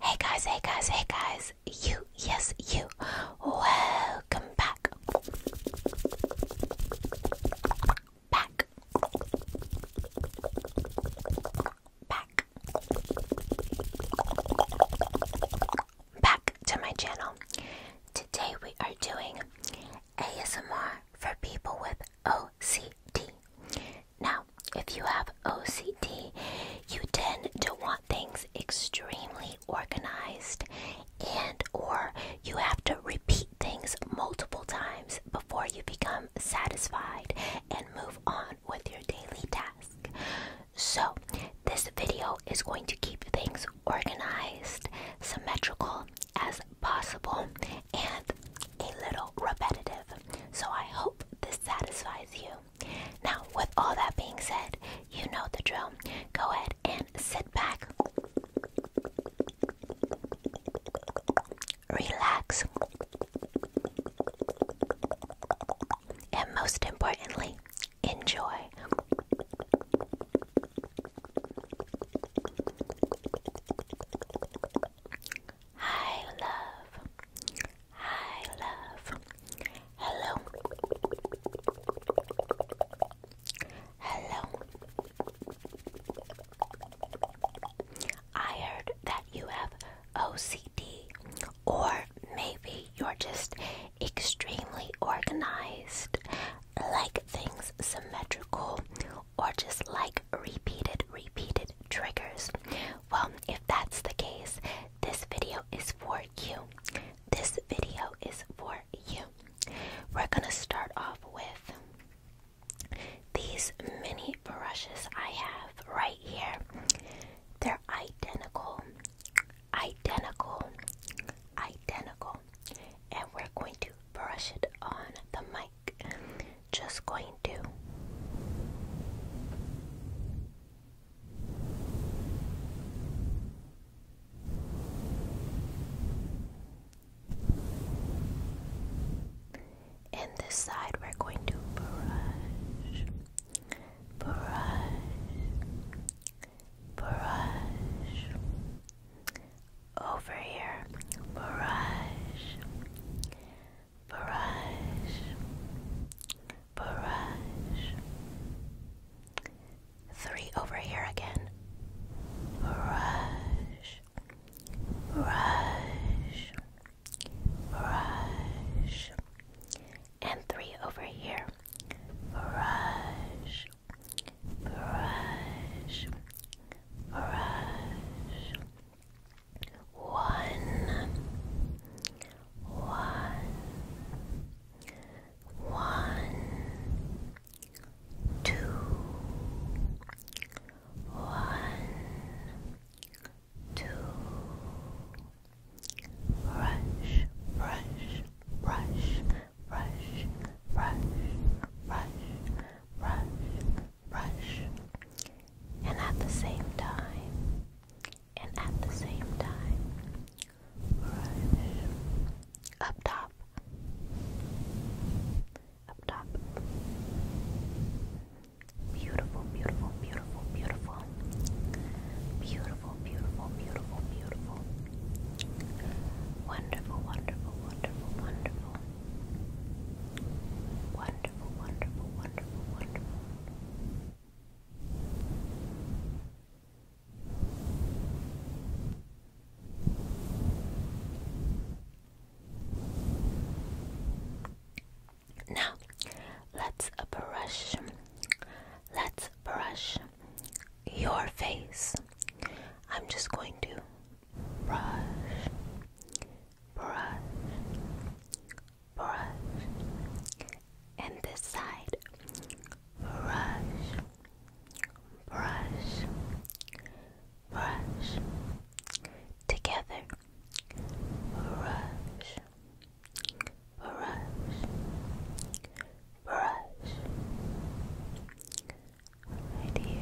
Hey guys, hey guys, hey guys, you, yes, you, welcome back. Back. Back. Back to my channel. Today we are doing ASMR for people with OCD. Now, if you have O C T, you tend to want things extremely organized and or you have to repeat things multiple times before you become satisfied and move on with your daily task. So, this video is going to keep things organized, symmetrical as possible and a little repetitive. So I hope this satisfies you. Now, with all that being said, you know the drill. Go ahead and sit back, relax, and most importantly, enjoy. Hi, love. Hi, love. Hello. Hello. I heard that you have OCD, or maybe you're just extremely organized, like things symmetrical or just like repeated, repeated triggers? Well, if that's the case, this video is for you. This video is for you. We're gonna start off with these mini brushes I have right here. They're identical, identical, identical, and we're going to brush it on the mic just going to in this side we're going to brush brush brush over here. Barrage, barrage, barrage. Three over here again. Barrage, barrage, barrage. And three over here. Barrage, barrage, brush one, one, one, two, one, two, brush, brush, brush, brush, brush, brush, rush, rush, and at the same time, and at the same time, rush, up top, up top. Beautiful, beautiful, beautiful, beautiful. Beautiful, beautiful, beautiful, beautiful. Wonderful, wonderful, wonderful, wonderful. Wonderful, wonderful, wonderful, wonderful. Now, let's brush, let's brush your face. I'm just going to brush, brush, brush, and this side, brush, brush, brush, together, brush, brush, brush, right here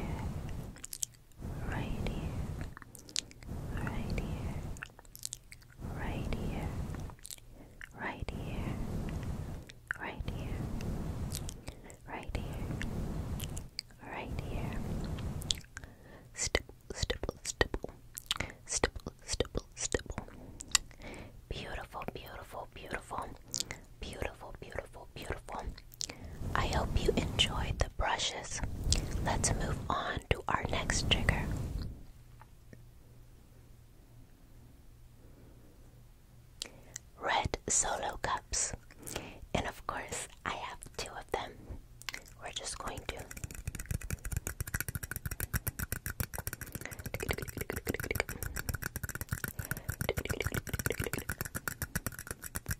right here, right here, right here, right here, right here, right here, right here. Stipple, stipple, stipple, stipple, stipple, stipple. Beautiful, beautiful, beautiful, beautiful, beautiful, beautiful. I hope you enjoyed the brushes. Let's move on to our next trigger. Red solo cups. And of course, I have two of them. We're just going to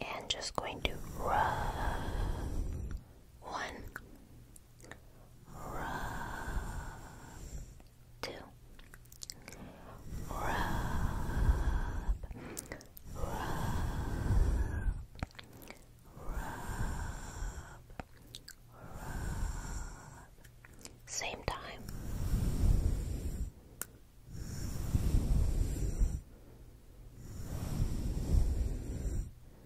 And just going to rub one rub, two, rub, rub, rub, rub. Same time.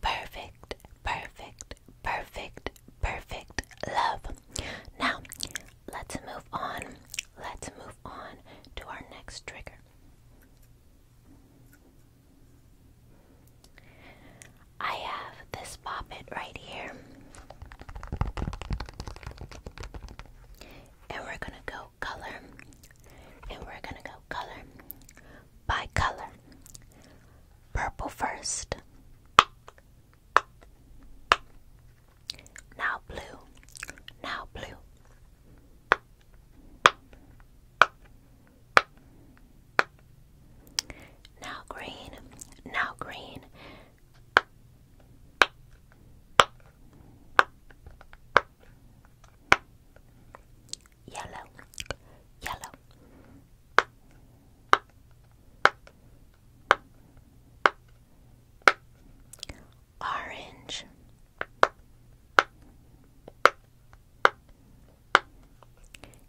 Perfect, perfect, perfect, perfect love. Now, let's move on. Let's move on to our next trigger. I have this poppet right here. And we're gonna go color. And we're gonna go color by color. Purple first. Now blue. Now blue. Now green. Now green yellow, yellow. Orange,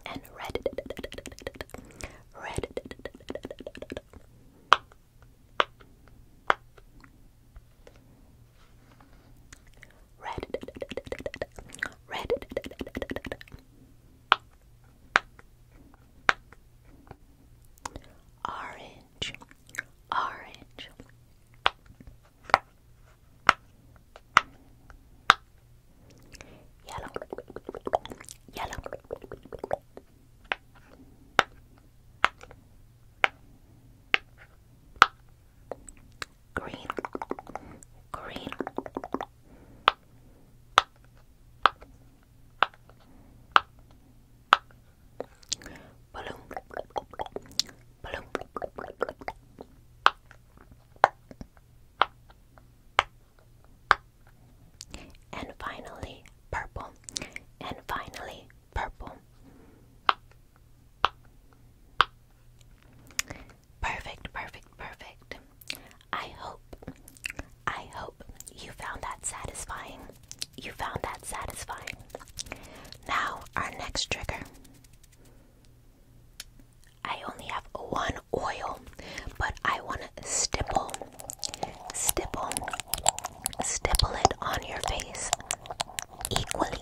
and red, red. Red. Red. Orange. Orange. Yellow. Yellow green, green. Balloon, balloon. And finally, purple. And finally, purple. Perfect, perfect, perfect. I hope, I hope you found that satisfying. You found that satisfying. Now, our next trigger. I only have one oil, but I want to stipple, stipple, stipple it on your face equally,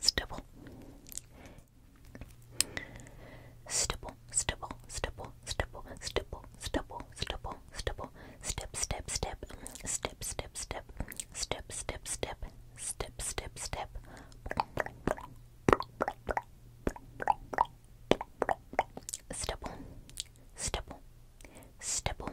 stipple. Stipple, stipple, stipple, stipple, stipple, stipple, stipple, stipple, step, step, step, step, step, step, step, step, step, step, step, step. Stipple, stipple, stipple,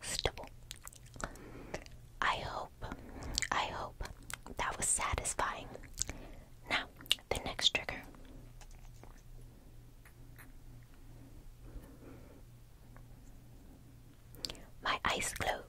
stubble. I hope, I hope that was satisfying. Now, the next trigger. My ice globes.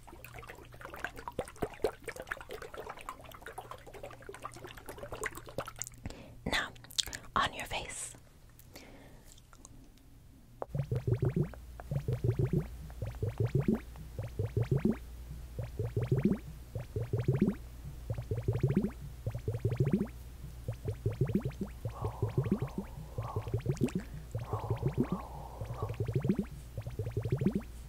Now, on your face. Roll, roll, roll.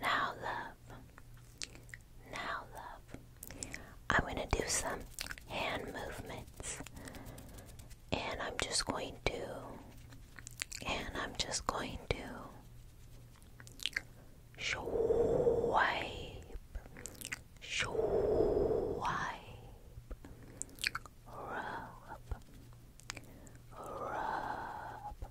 Now, love, now, love, I'm going to do some hand movements. And I'm just going to, and I'm just going to swipe, swipe, rub, rub,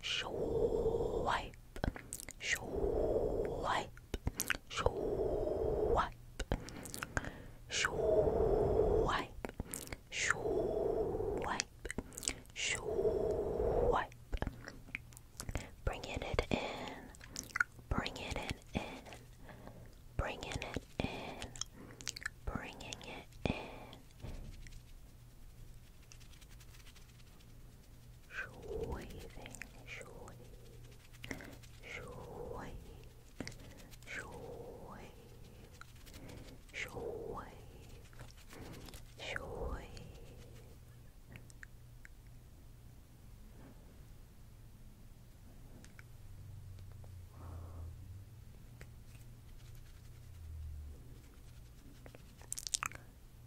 swipe, swipe, swipe, swipe, swipe, swipe, swipe. Bringing it in, bringing it in, bringing it in, bringing it in shaving, shave, shave, shave, shave, shave. Shave,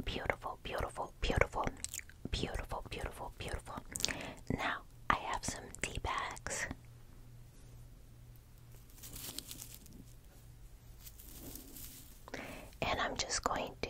Beautiful, beautiful, beautiful, beautiful, beautiful, beautiful. Now I have some tea bags. And I'm just going to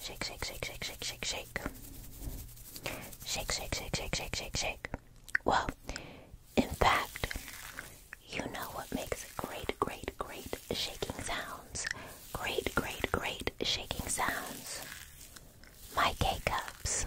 Shake, shake, shake, shake, shake, shake, shake. Shake, shake, shake, shake, shake, shake, shake. Well, in fact, you know what makes great, great, great shaking sounds? Great, great, great shaking sounds. My K cups.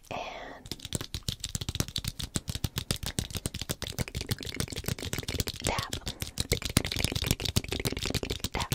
and tap, tap.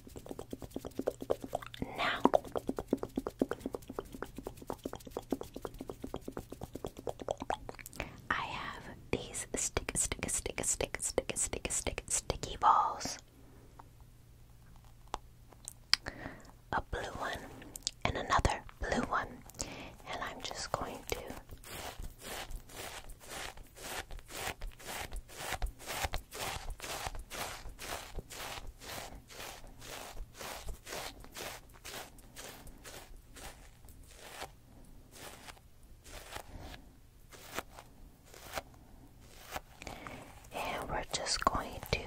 Now. I have these stick, stick, stick, stick, stick, stick, stick, sticky balls. A blue one and another blue one, and I'm just going to and we're just going to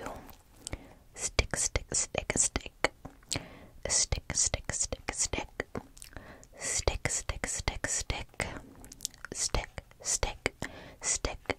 stick, stick, stick, stick, stick, stick, stick, stick, stick, stick, stick, stick, stick, stick, stick,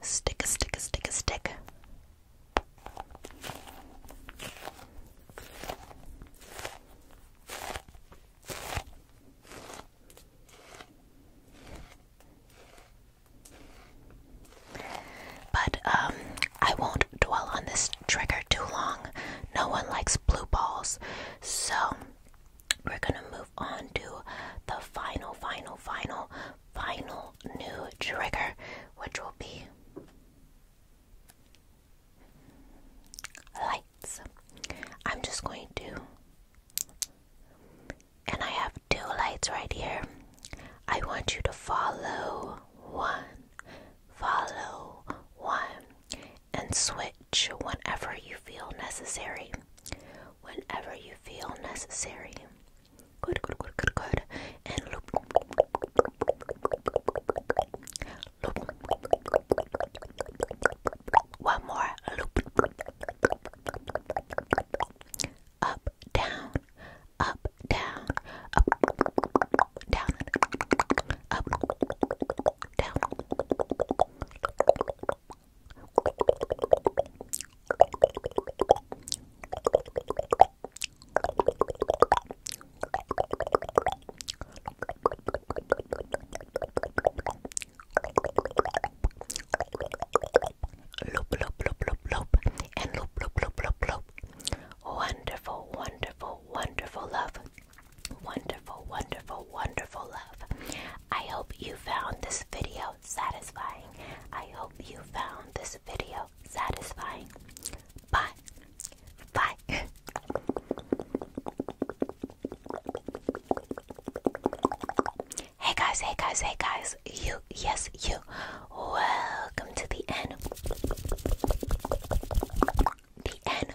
Stick a stick a stick a stick. But um I won't dwell on this trigger too long. No one likes blue balls. So we're going to move move the final, final, final, final new trigger, which will be lights. I'm just going to. And I have two lights right here. I want you to follow one, follow one, and switch whenever you feel necessary whenever you feel necessary. Good, good, good, good, good. And loop. Loop. One more loop. Up, down, up, down, up, down, up, down. Loop, loop, loop, loop, loop, and loop, loop, loop, loop, loop. Wonderful, wonderful, wonderful love. Wonderful, wonderful, wonderful love. I hope you found this video satisfying. I hope you found this video satisfying. Bye. Bye. hey guys, hey guys, hey guys. You, yes, you. Welcome to the end. The end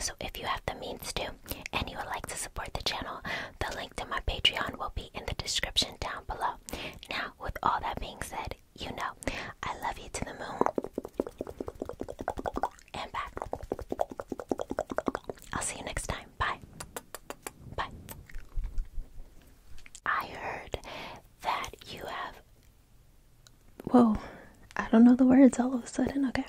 So if you have the means to and you would like to support the channel, the link to my Patreon will be in the description down below. Now, with all that being said, you know, I love you to the moon and back. I'll see you next time. Bye. Bye. I heard that you have. Whoa, I don't know the words all of a sudden. Okay.